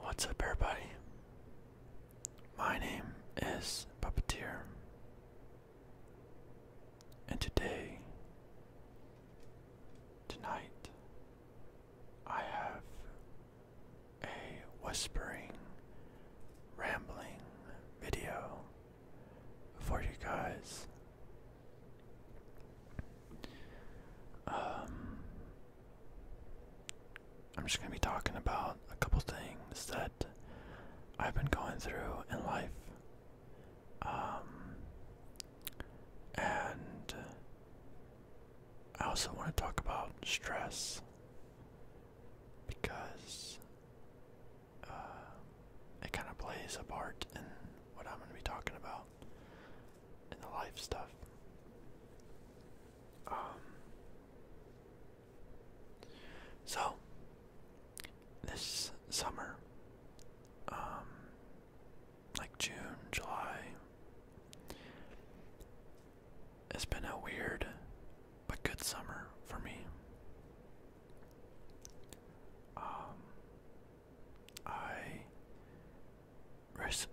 What's up, everybody? My name is Puppeteer, and today, tonight, I have a whispering, rambling video for you guys. Um, I'm just going to be talking about a couple things that I've been going through in life. Um, and I also want to talk about stress because uh, it kind of plays a part in what I'm going to be talking about in the life stuff. Um, so, this summer, um, like June, July, it's been a weird but good summer for me. Um, I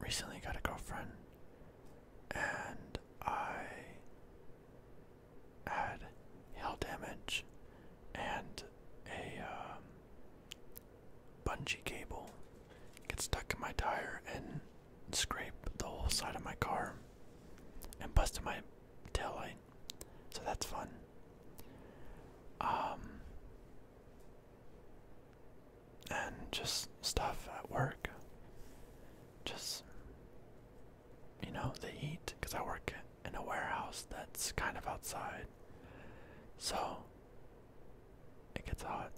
recently got a girlfriend, and I had hail damage and a um, bungee cable get stuck in my tire and scrape the whole side of my car and busted my tail light. So that's fun. Um, and just stuff at work. Just you know, the heat cuz I work in a warehouse that's kind of outside. So it gets hot.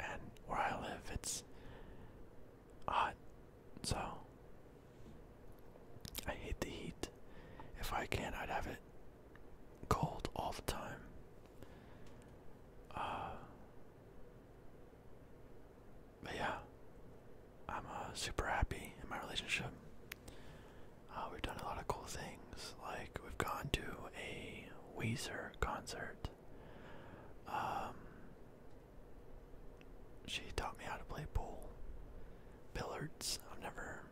And where I live, it's hot so I hate the heat. If I can, I'd have it cold all the time. Uh, but yeah, I'm uh, super happy in my relationship. Uh, we've done a lot of cool things. Like we've gone to a Weezer concert. Um, she taught me how to play pool. Billiards, I've never.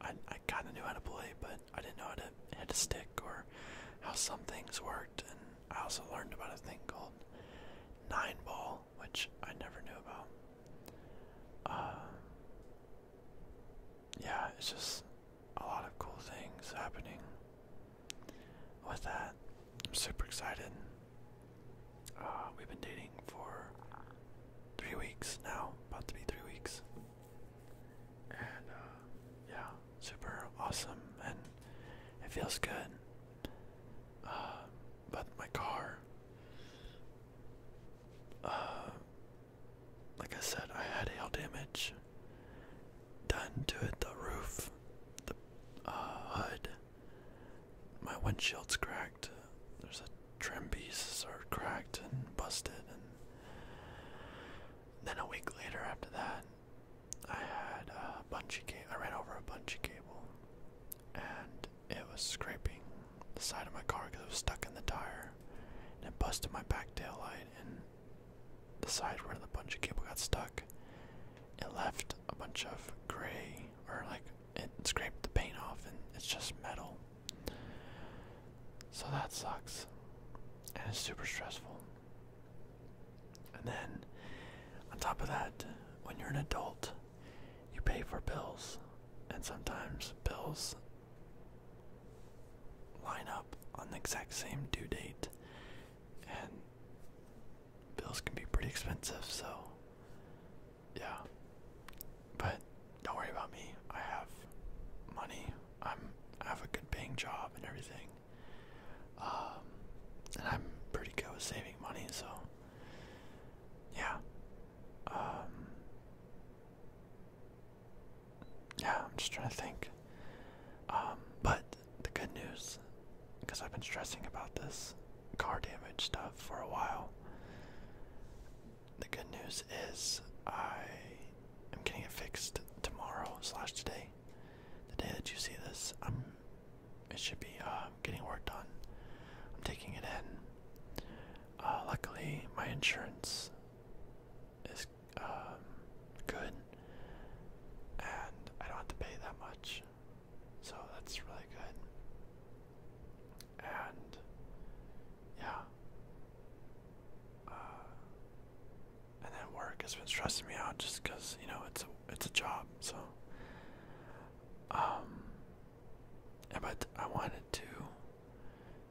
I, I kind of knew how to play, but I didn't know how to hit a stick or how some things worked. And I also learned about a thing called nine ball, which I never knew about. Uh, yeah, it's just a lot of cool things happening with that. I'm super excited. Uh, we've been dating for three weeks now, about to be three weeks. And uh, yeah, super awesome, and it feels good. Uh, but my car, like I said, I had hail damage done to it, the roof the uh, My windshield's cracked. There's a trim pieces are cracked and busted, and then a week later after that, I had a bungee cable. I ran over a bungee cable, and it was scraping the side of my car because it was stuck in the tire, and it busted my back tail light and the side where the bungee cable got stuck it left a bunch of gray, or like it scraped the paint off, and it's just metal. So that sucks, and it's super stressful. And then, on top of that, when you're an adult, you pay for bills, and sometimes bills line up on the exact same due date, and bills can be pretty expensive, so yeah. But don't worry about me. I have money. I'm have a good paying job and everything. Um, and I'm pretty good with saving money, so yeah. Um, yeah, I'm just trying to think. Um, but the good news, because I've been stressing about this car damage stuff for a while, the good news is I am getting it fixed tomorrow slash today. The day that you see this, i um, it should be uh, getting work done. I'm taking it in. Uh, luckily, my insurance is um, good and I don't have to pay that much, so that's really good. And yeah, uh, and then work has been stressing me out just because you know it's a it's a job, so um, but I wanted to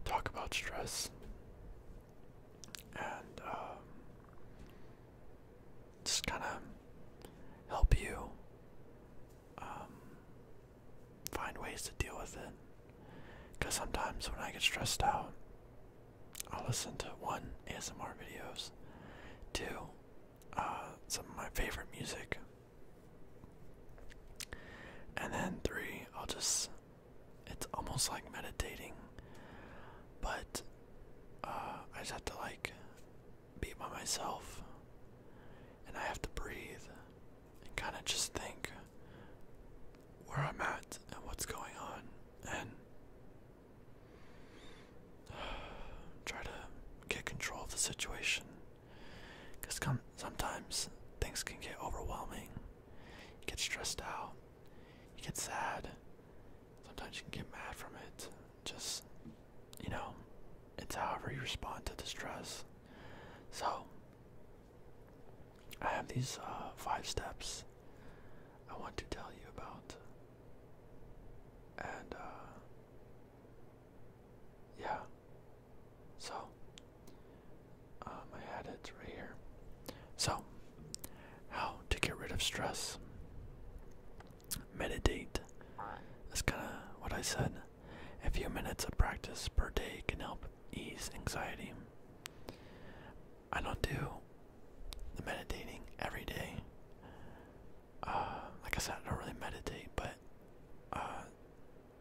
talk about stress and um, just kind of help you um, find ways to deal with it. Because sometimes when I get stressed out, I'll listen to one ASMR videos, two uh, some of my favorite music, and then three I'll just it's almost like meditating, but uh, I just have to like be by myself and I have to breathe and kind of just think where I'm at and what's going on and try to get control of the situation because sometimes things can get overwhelming get stressed out you get sad. Sometimes you can get mad from it. Just, you know, it's however you respond to distress. So, I have these uh, five steps I want to tell you about. And, uh, yeah. So, um, I had it right here. So, how to get rid of stress. Meditate. That's kind of what I said. A few minutes of practice per day can help ease anxiety. I don't do the meditating every day. Uh, like I said, I don't really meditate, but uh,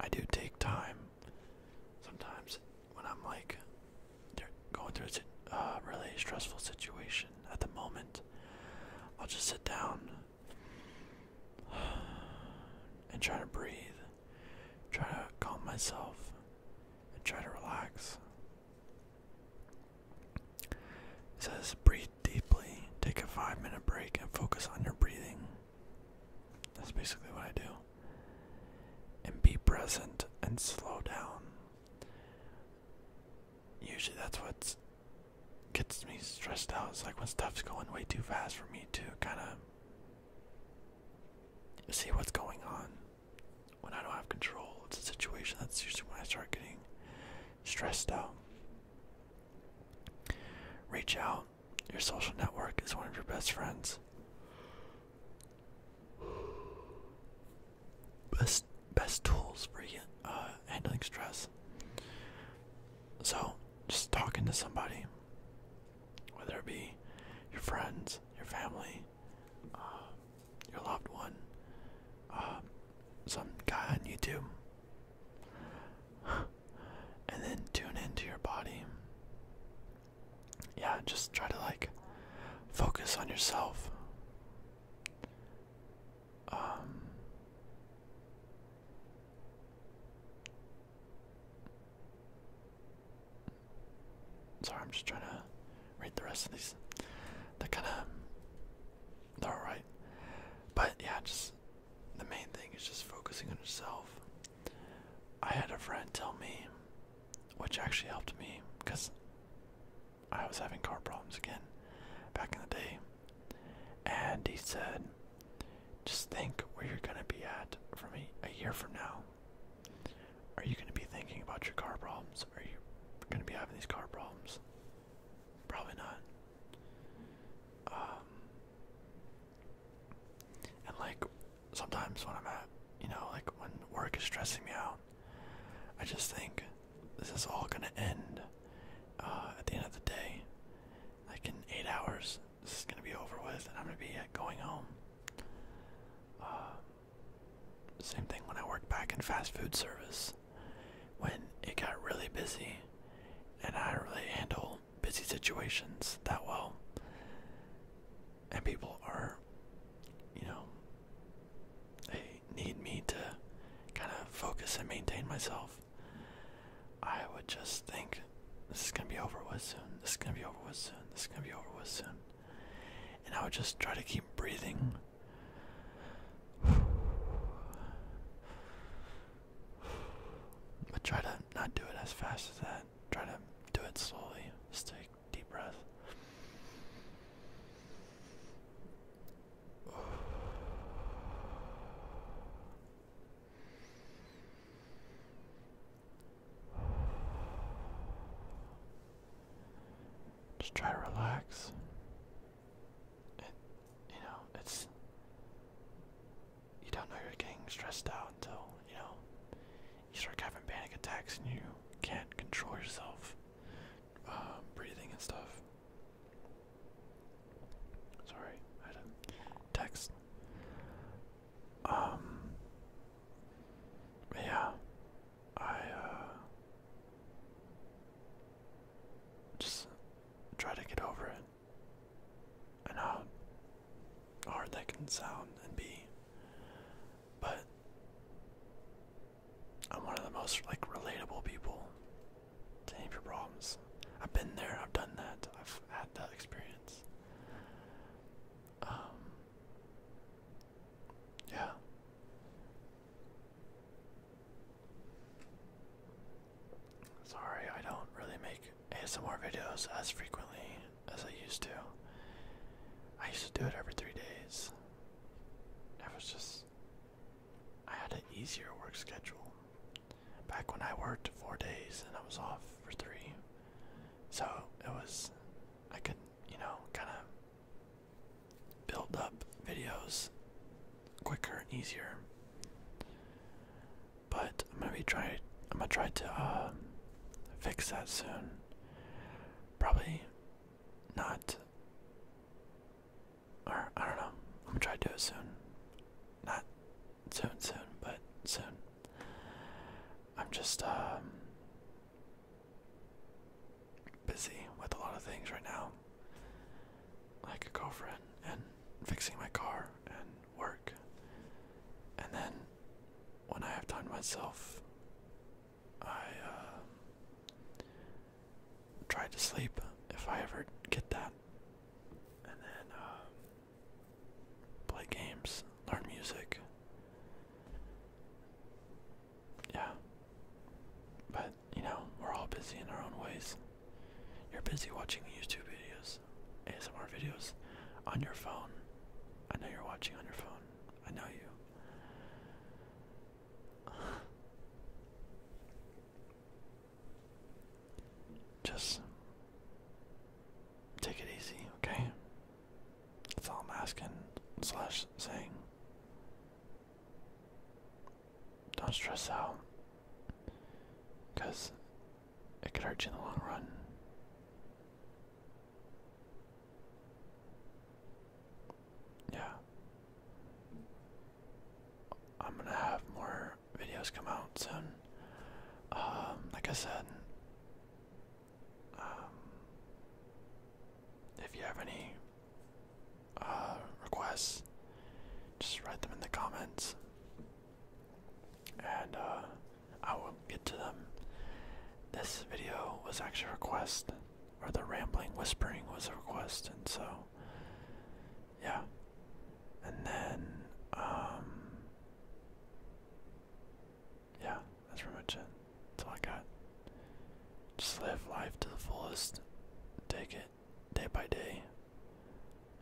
I do take time sometimes when I'm like going through a uh, really stressful situation at the moment, I'll just sit down and try to breathe, try to calm myself, and try to relax. It says breathe deeply, take a five minute break, and focus on your breathing. That's basically what I do and be present and slow down. Usually that's what gets me stressed out. It's like when stuff's going way too fast for me to kind of see what's going on. When I don't have control, it's a situation that's usually when I start getting stressed out. Reach out. Your social network is one of your best friends best best tools for uh, handling stress. So just talking to somebody, whether it be your friends, your family, uh, your loved one, uh, some guy on YouTube, and then tune into your body yeah, just try to like focus on yourself. Um, sorry, I'm just trying to read the rest of these. They're kind of they're all right, but yeah, just the main thing is just focusing on yourself. I had a friend tell me which actually helped me because I was having car problems again back in the day. And he said, just think where you're going to be at from a, a year from now. Are you going to be thinking about your car problems? Are you going to be having these car problems? Probably not. Um, and like sometimes when I'm at, you know, like when work is stressing me out, I just think this is all gonna end uh, at the end of the day. Like in eight hours, this is gonna be over with, and I'm gonna be uh, going home. Uh, same thing when I worked back in fast food service, when it got really busy, and I really handle busy situations that well. And people are, you know, they need me to kind of focus and maintain myself. I would just think this is gonna be over with soon, this is gonna be over with soon, this is gonna be over with soon. And I would just try to keep breathing. But try to not do it as fast as that. Try to do it slowly. Just take deep breath. Just try to relax. you know, it's you don't know you're getting stressed out until, you know, you start having panic attacks and you can't control yourself uh, breathing and stuff. Sorry, text. Um, yeah, I, uh, just try to get over it and how hard that can sound and be. But I'm one of the most like relatable people to any of your problems. I've been there, I've done that, I've had that experience. Um, yeah. Sorry, I don't really make ASMR videos as frequently as I used to. I used to do it every three days. It was just. I had an easier work schedule. Back when I worked four days and I was off for three. So it was. I could, you know, kind of build up videos quicker and easier. But I'm gonna be try I'm gonna try to um, fix that soon. Probably not or I don't know. I'm gonna try to do it soon. Not soon soon, but soon. I'm just um, busy with a lot of things right now. Like a girlfriend and fixing my car and work. And then when I have time myself, I um, try to sleep if I ever get that. And then um, play games, learn music. Yeah. But, you know, we're all busy in our own ways. You're busy watching YouTube videos, ASMR videos, on your phone. I know you're watching on your phone. I know you. Just take it easy, okay? That's all I'm asking, slash saying. Don't stress out. Because it could hurt you in the long run. Yeah. I'm gonna have more videos come out soon. Um, like I said, um, if you have any uh, requests, just write them in the comments and uh, I will get to them. This video was actually a request, or the rambling whispering was a request, and so yeah. And then um, yeah, that's pretty much it. That's all I got. Just live life to the fullest. Take it day by day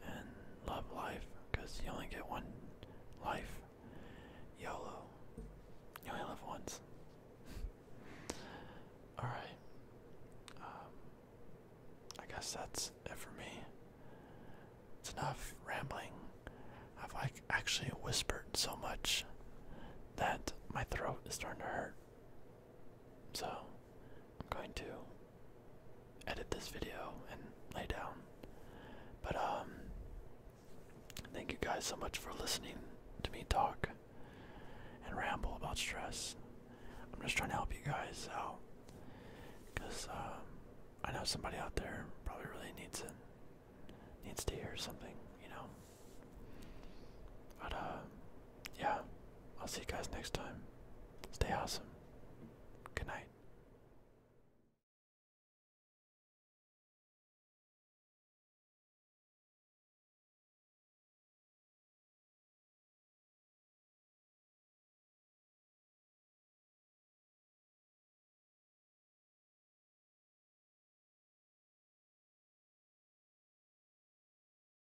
and love life because you only get one life. YOLO. You only live once. Alright. Um, I guess that's it for me. It's enough rambling. I've like actually whispered so much that my throat is starting to hurt. So I'm going to edit this video and lay down. But um thank you guys so much for listening to me talk and ramble about stress. I'm just trying to help you guys out because um, I know somebody out there probably really needs it, needs to hear something, you know. But uh, yeah, I'll see you guys next time. Stay awesome. Good night.